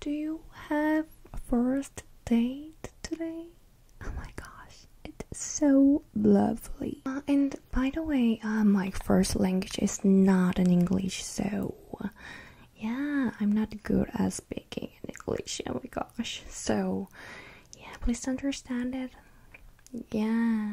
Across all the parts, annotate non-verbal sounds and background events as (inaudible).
Do you have a first date today? Oh my gosh, it's so lovely. Uh, and by the way, uh, my first language is not in English, so yeah, I'm not good at speaking in English. Oh my gosh. So yeah, please understand it. Yeah.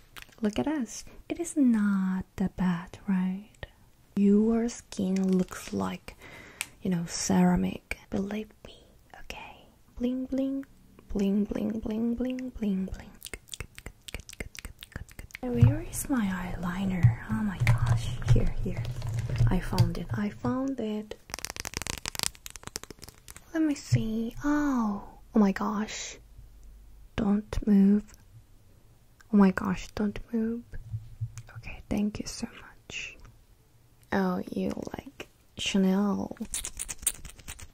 Look at us. It is not that bad, right? Your skin looks like, you know, ceramic. Believe me, okay? Bling, bling, bling, bling, bling, bling, bling, bling. Where is my eyeliner? Oh my gosh. Here, here. I found it. I found it. Let me see. Oh, oh my gosh. Don't move. Oh my gosh, don't move. Okay, thank you so much. Oh, you like Chanel.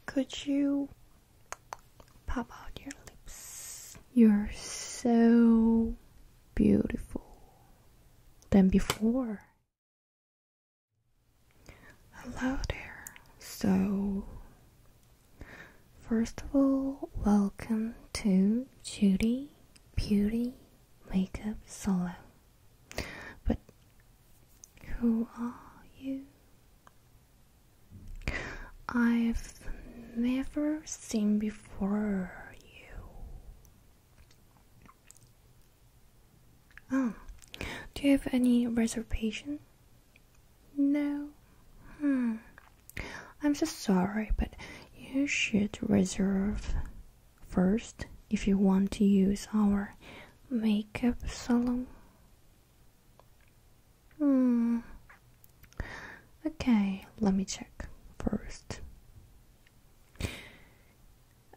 Could you pop out your lips? You're so beautiful than before. Hello there. So, first of all, welcome to Judy Beauty Makeup Solo. But who are you? I've never seen before you. Oh, do you have any reservation? No. Hmm. I'm so sorry, but you should reserve first if you want to use our makeup salon. Hmm. Okay, let me check first.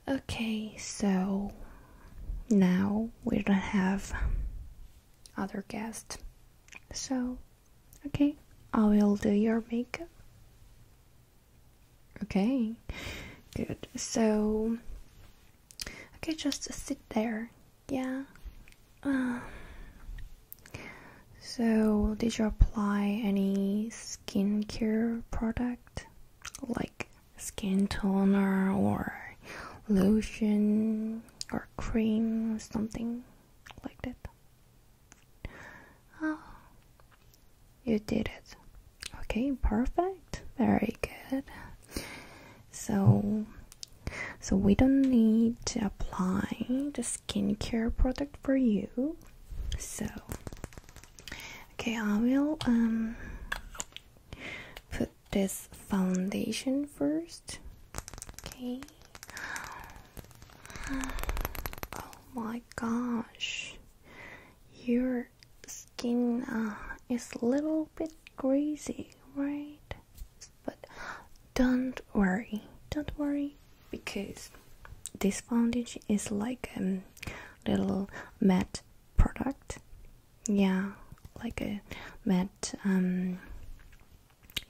Okay, so now we don't have other guest. So, okay, I will do your makeup. Okay, good. So, okay, just sit there. Yeah. Um, so, did you apply any skincare product? Like skin toner or lotion or cream or something like that. Oh, you did it. Okay, perfect. Very good. So, so we don't need to apply the skincare product for you. So, okay, I will um this foundation first. Okay. (gasps) Oh my gosh. Your skin uh, is a little bit greasy, right? But don't worry. Don't worry because this foundation is like a little matte product yeah, like a met, um,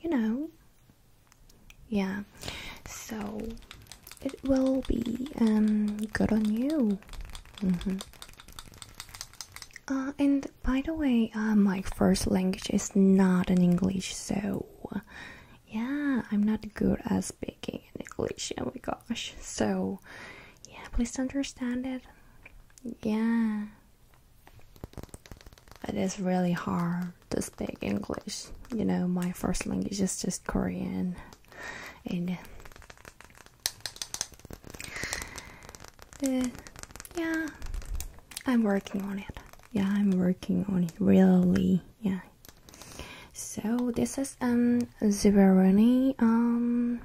you know, yeah. So it will be um good on you. Mm -hmm. Uh, and by the way, uh, my first language is not in English, so yeah, I'm not good at speaking in English. Oh my gosh. So yeah, please understand it. Yeah. It is really hard to speak English. You know, my first language is just Korean, and yeah, I'm working on it. Yeah, I'm working on it really. Yeah. So this is um Zebaroni um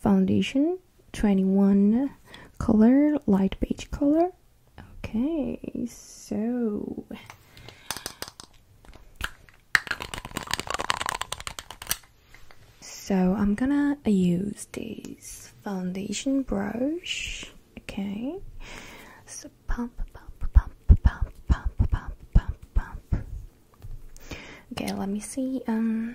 foundation 21 color light beige color okay so so i'm gonna use this foundation brush okay so pump pump pump pump pump pump pump pump okay let me see um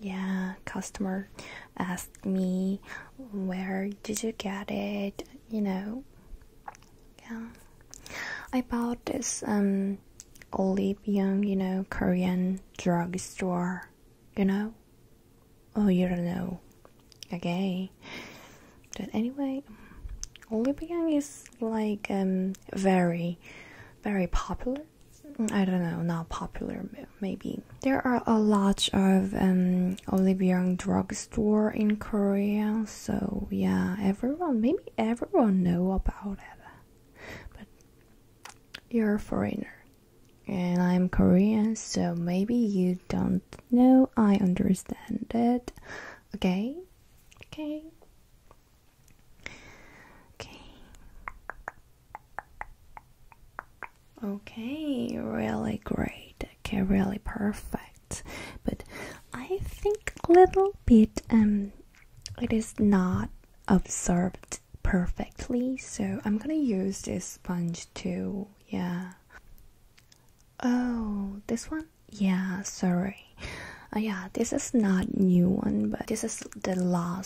yeah customer asked me where did you get it you know yeah i bought this um Olibyang. you know korean drugstore you know oh you don't know okay but anyway Olibyang is like um very very popular I don't know, not popular, maybe. There are a lot of um, Olive Young drugstore in Korea, so yeah, everyone, maybe everyone know about it. But you're a foreigner, and I'm Korean, so maybe you don't know. I understand it. Okay, okay. Okay. Okay, really great. Okay, really perfect. But I think a little bit um it is not absorbed perfectly, so I'm gonna use this sponge too, yeah. Oh, this one? Yeah, sorry. Uh, yeah, this is not new one, but this is the last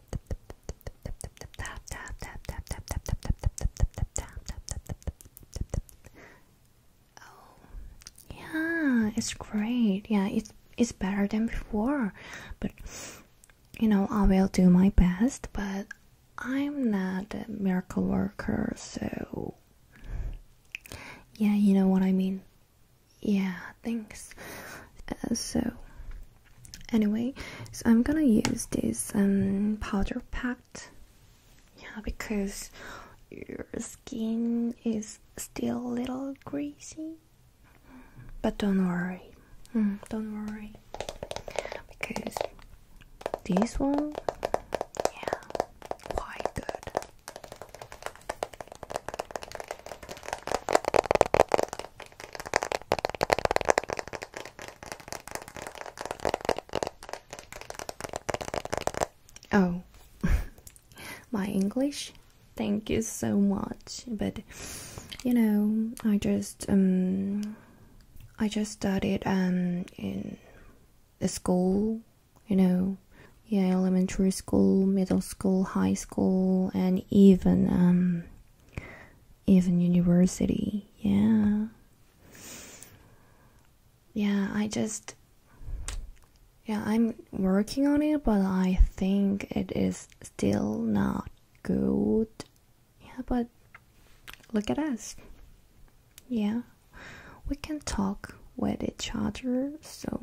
Oh, yeah, it's great. Yeah, it's it's better than before. But you know, I will do my best. But I'm not a miracle worker, so yeah, you know what I mean yeah thanks uh, so anyway so i'm gonna use this um powder pack yeah because your skin is still a little greasy but don't worry mm, don't worry because this one yeah quite good Oh, (laughs) my English? Thank you so much. But you know, I just um I just studied um in the school, you know, yeah, elementary school, middle school, high school and even um even university yeah yeah i just yeah i'm working on it but i think it is still not good yeah but look at us yeah we can talk with each other so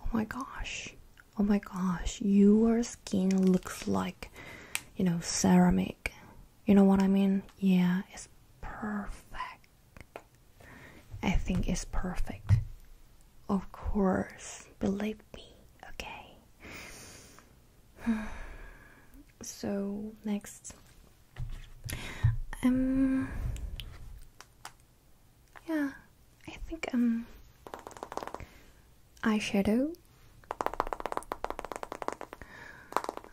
Oh my gosh. Oh my gosh, your skin looks like, you know, ceramic. You know what I mean? Yeah, it's perfect. I think it's perfect. Of course, believe me, okay? (sighs) so, next. Um, yeah, I think um eyeshadow.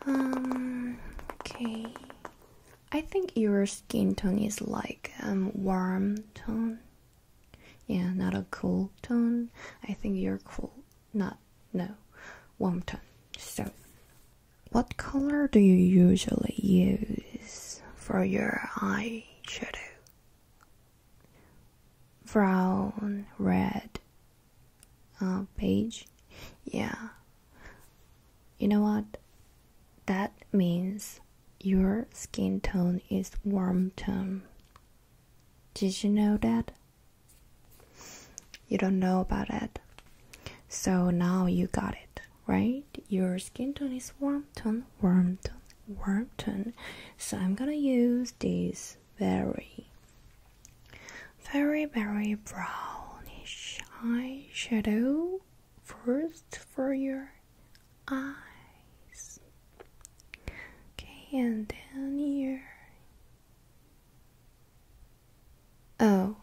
Um okay. I think your skin tone is like um warm tone. Yeah, not a cool tone. I think you're cool, not no warm tone. So what color do you usually use for your eye? shadow. Brown, red, uh, beige. Yeah. You know what? That means your skin tone is warm tone. Did you know that? You don't know about it. So now you got it right? Your skin tone is warm tone, warm tone, warm tone. So I'm gonna use this very, very, very brownish eyeshadow first for your eyes. Okay, and then here. Oh,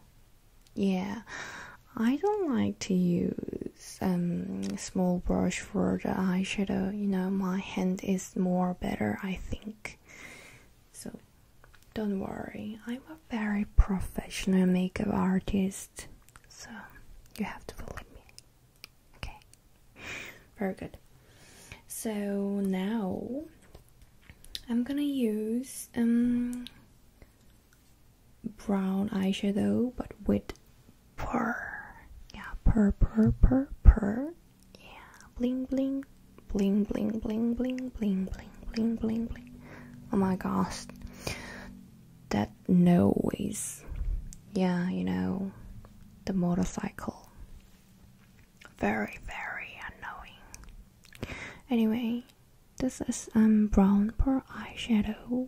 yeah. I don't like to use um small brush for the eyeshadow. You know, my hand is more better, I think. So, don't worry. I'm a very professional makeup artist, so you have to believe me. Okay. Very good. So now I'm gonna use um brown eyeshadow but with purr. Yeah, purr, purr, purr, purr. Yeah, bling, bling, bling, bling, bling, bling, bling, bling, bling, Oh my gosh, that noise. Yeah, you know, the motorcycle. Very, very annoying. Anyway, this is um brown pearl eyeshadow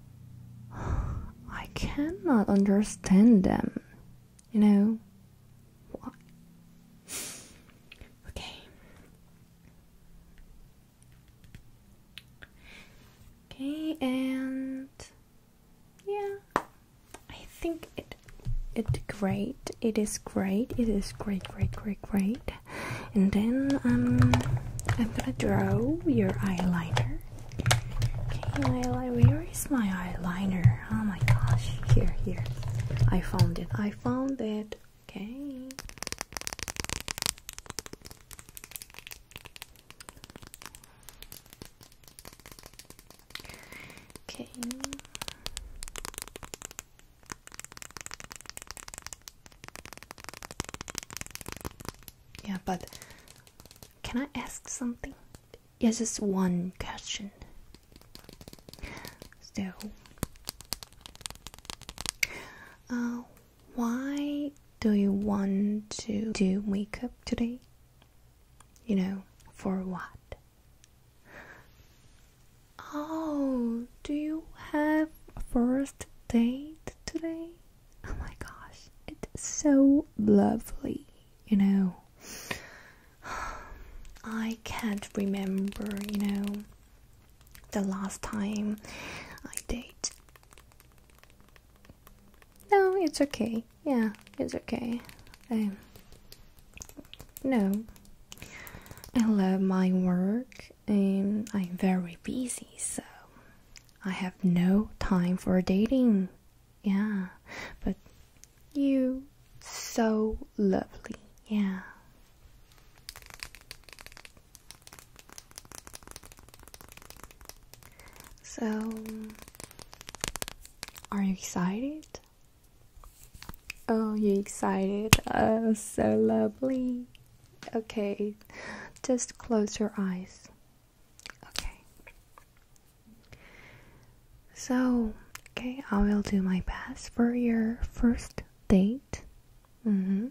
(sighs) I cannot understand them. You know? (sighs) Okay. Okay, and yeah. I think it it's great. It is great. It is great, great, great, great. And then um I'm gonna draw your eyeliner. Okay, where is my eyeliner? Oh my gosh, here, here. I found it, I found it. Okay. Okay yeah, but can I ask something? It's just one question. So, uh, why do you want to do makeup today? You know, for what? Oh, do you have a first date today? Oh my gosh, it's so lovely, you know. (sighs) I can't remember, you know, the last time I date. No, it's okay. Yeah, it's okay. I. no, I love my work and I'm very busy, so I have no time for dating. Yeah, but you so lovely. Yeah. So, are you excited? Oh, you excited? Oh, so lovely. Okay, just close your eyes. Okay. So, okay, I will do my best for your first date. Mm-hmm.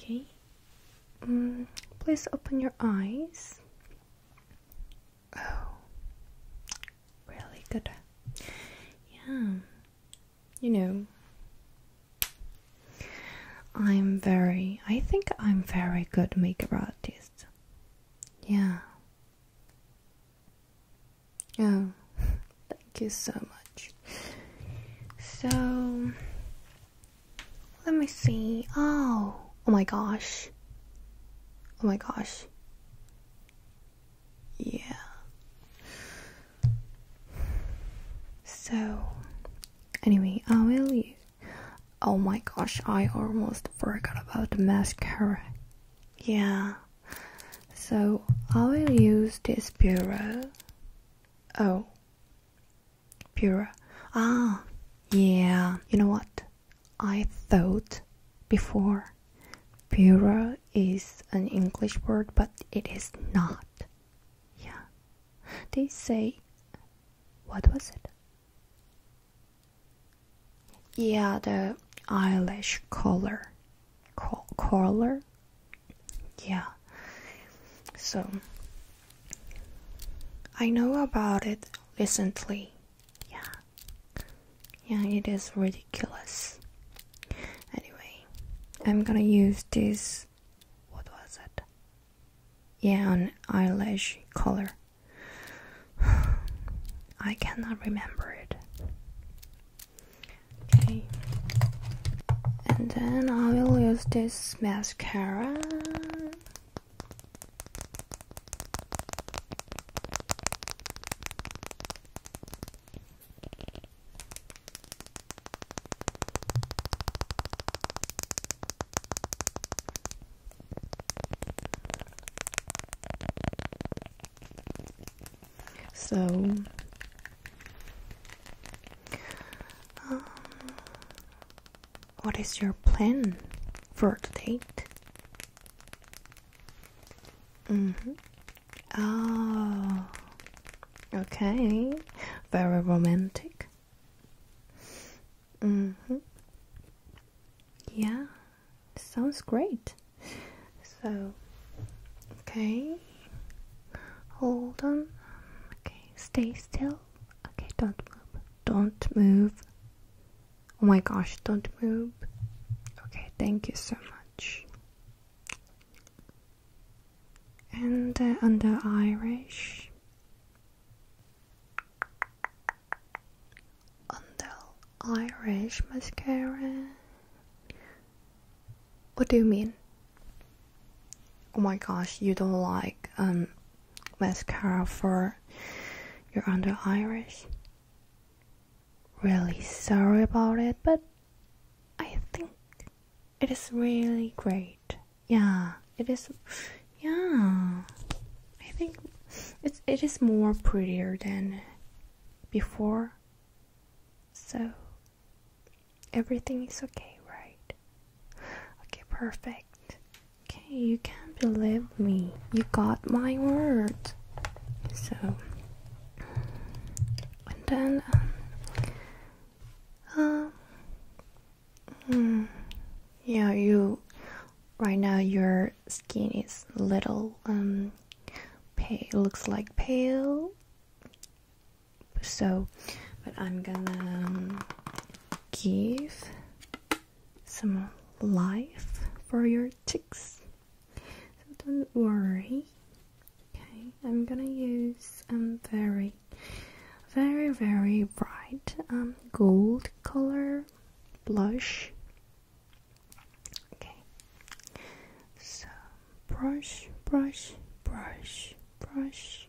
Okay. Mm, please open your eyes. Oh, really good. Yeah, you know, I'm very, I think I'm very good makeup artist. Yeah. Oh, (laughs) thank you so much. So, let me see. Oh, oh my gosh. Oh my gosh. Yeah. So, anyway, I will Oh my gosh, I almost forgot about the mascara. Yeah. So, I will use this bureau. Oh. Pura. Ah, yeah. You know what? I thought before Pura is an English word, but it is not. Yeah. They say. What was it? Yeah, the eyelash color. color? Yeah. So, I know about it recently. Yeah. Yeah, it is ridiculous. Anyway, I'm gonna use this. What was it? Yeah, an eyelash color. (sighs) I cannot remember it. Okay. And then I will use this mascara. So, um, what is your plan for the date? Mm-hmm. Oh, okay. Very romantic. Mm-hmm. Yeah, sounds great. So, okay. Hold on. Okay, stay still. Okay, don't move. Don't move. Oh my gosh, don't move. Okay, thank you so much. And uh, under Irish, under Irish mascara. What do you mean? Oh my gosh, you don't like um mascara for your under iris. Really sorry about it, but I think it is really great. Yeah, it is. Yeah, I think it's it is more prettier than before. So everything is okay, right? Okay, perfect. Okay, you can't believe me. You got my word. So, and then, um, uh, yeah, you. Right now, your skin is little um pale. Looks like pale. So, but I'm gonna um, give some life for your ticks. So don't worry. Okay, I'm gonna use a um, very, very, very bright um, gold color blush. Okay, so brush, brush, brush, brush,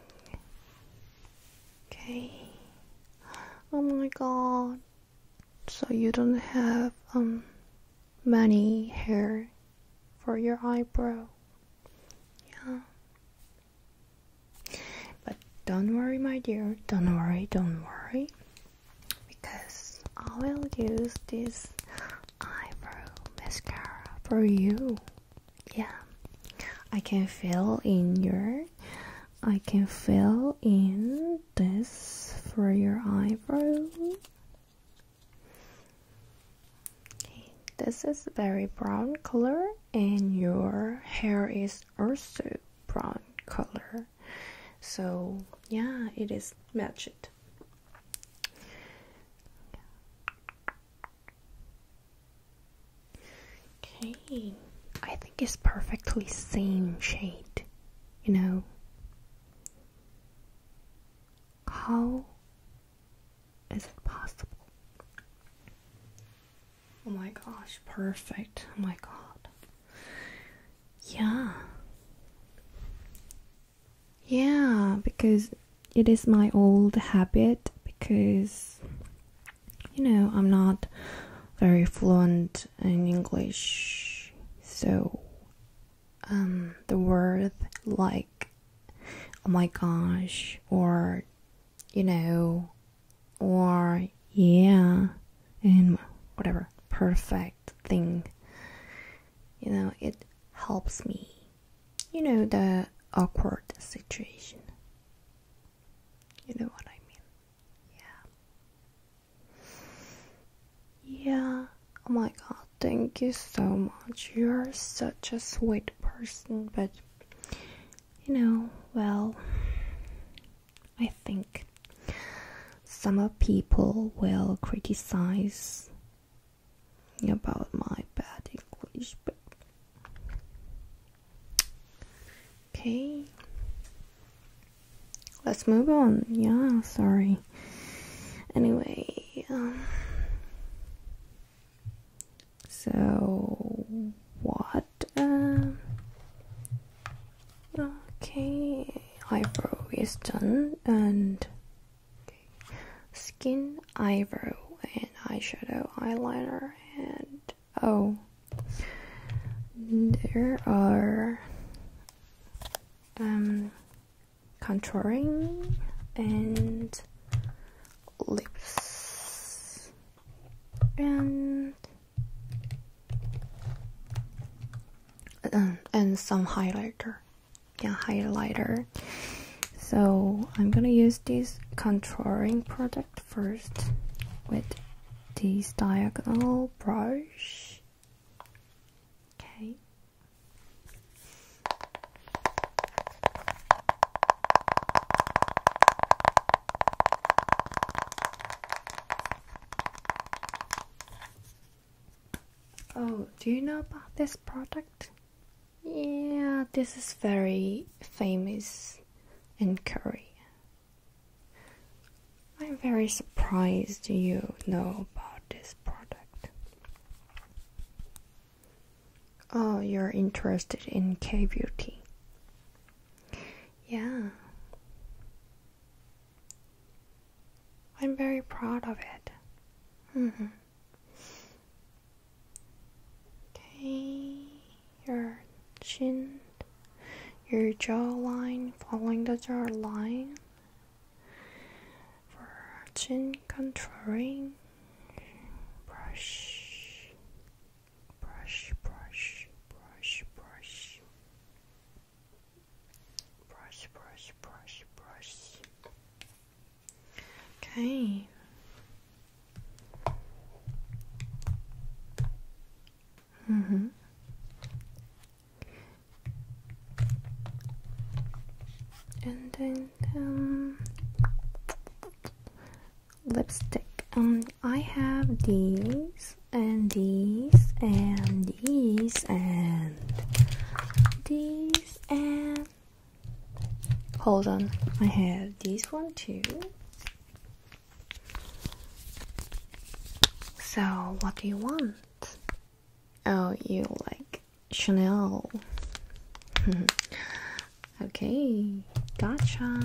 Okay. Oh my god. So you don't have um many hair for your eyebrow. Yeah. But don't worry my dear, don't worry, don't worry. Because I will use this eyebrow mascara for you yeah i can fill in your i can fill in this for your eyebrow okay this is very brown color and your hair is also brown color so yeah it is matched Okay, I think it's perfectly same shade, you know. How is it possible? Oh my gosh, perfect. Oh my god. Yeah. Yeah, because it is my old habit because you know I'm not very fluent in English, so um, the word like oh my gosh or you know or yeah and whatever perfect thing you know it helps me you know, the awkward situation. You know what I mean? Yeah. Yeah. Oh my god, thank you so much. You're such a sweet person, but you know, well, I think some people will criticize about my bad English. But okay, let's move on. Yeah, sorry. Anyway, um, so what? Uh, okay, eyebrow is done and Okay. Skin, eyebrow, and eyeshadow, eyeliner, and oh, there are um, contouring and lips and um, and some highlighter yeah highlighter so I'm gonna use this contouring product first with this diagonal brush. Okay. Oh, do you know about this product? Yeah, this is very famous in Korea. I'm very surprised you know about this product. Oh, you're interested in K beauty. Yeah. I'm very proud of it. -hmm. Okay, your chin, your jawline, following the jawline. For chin contouring, brush, brush, brush, brush, brush, brush, brush, brush, brush. Okay. Mm hmm And then um, lipstick. Um, I have these and these and these and these and Hold on, I have this one too. So, what do you want? Oh, you like Chanel. (laughs) okay, gotcha.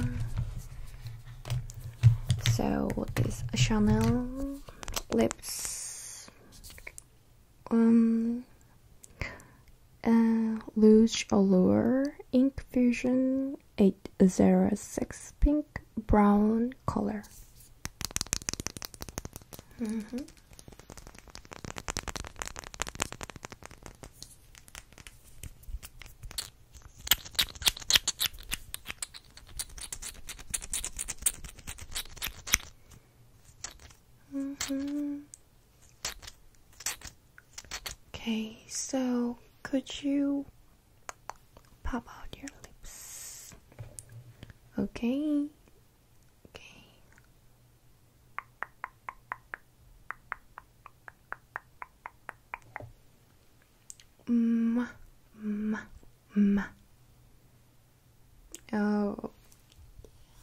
So, what is Chanel lips? um, uh, Allure Ink Fusion 806 Pink Brown Color. Mm-hmm. Mm-hmm. Okay, so could you pop out your lips? Okay. Okay. Mm, mm, mm. Oh,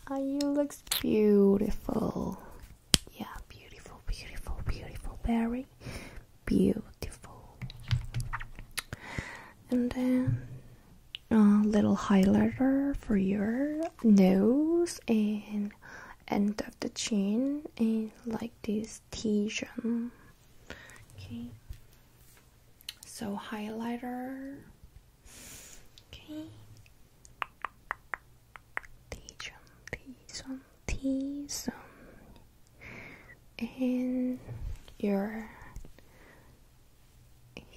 Oh, you looks beautiful. Yeah, beautiful, beautiful, beautiful. Very beautiful. And then a little highlighter for your nose and end of the chin and like this T-shirt. Okay. So highlighter Okay. t one, t one, t one. And your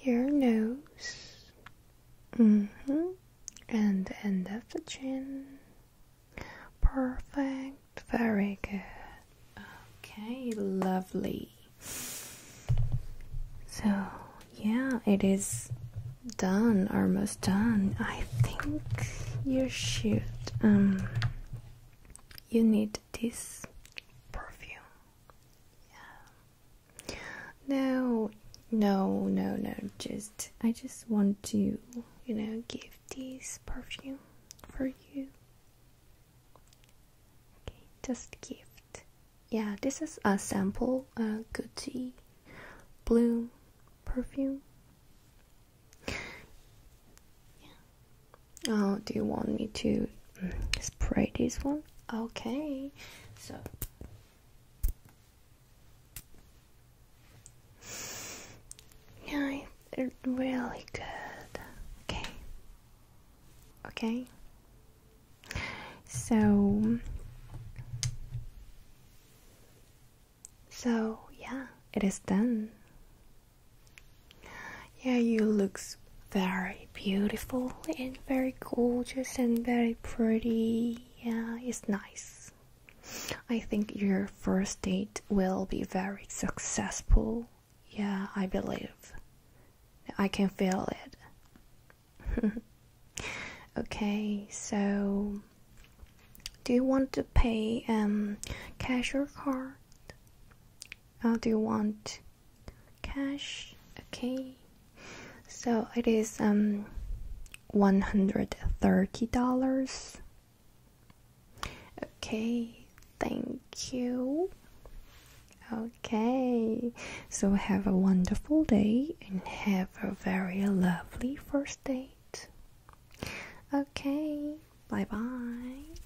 your nose. Mm-hmm. And the end of the chin. Perfect. Very good. Okay, lovely. So yeah, it is done, almost done. I think you should um you need this perfume. Yeah. No, no, no, no. Just I just want to, you know, give this perfume for you. Okay, just give yeah, this is a sample uh, Gucci Bloom perfume. Oh, do you want me to spray this one? Okay, so. Yeah, it's really good. Okay. Okay. So, so yeah, it is done. Yeah, you looks very beautiful and very gorgeous and very pretty. Yeah, it's nice. I think your first date will be very successful. Yeah, I believe. I can feel it. (laughs) okay, so do you want to pay um cash or card? Or oh, do you want cash? Okay. So it is um one hundred thirty dollars. Okay, thank you. Okay, so have a wonderful day and have a very lovely first date. Okay, bye bye.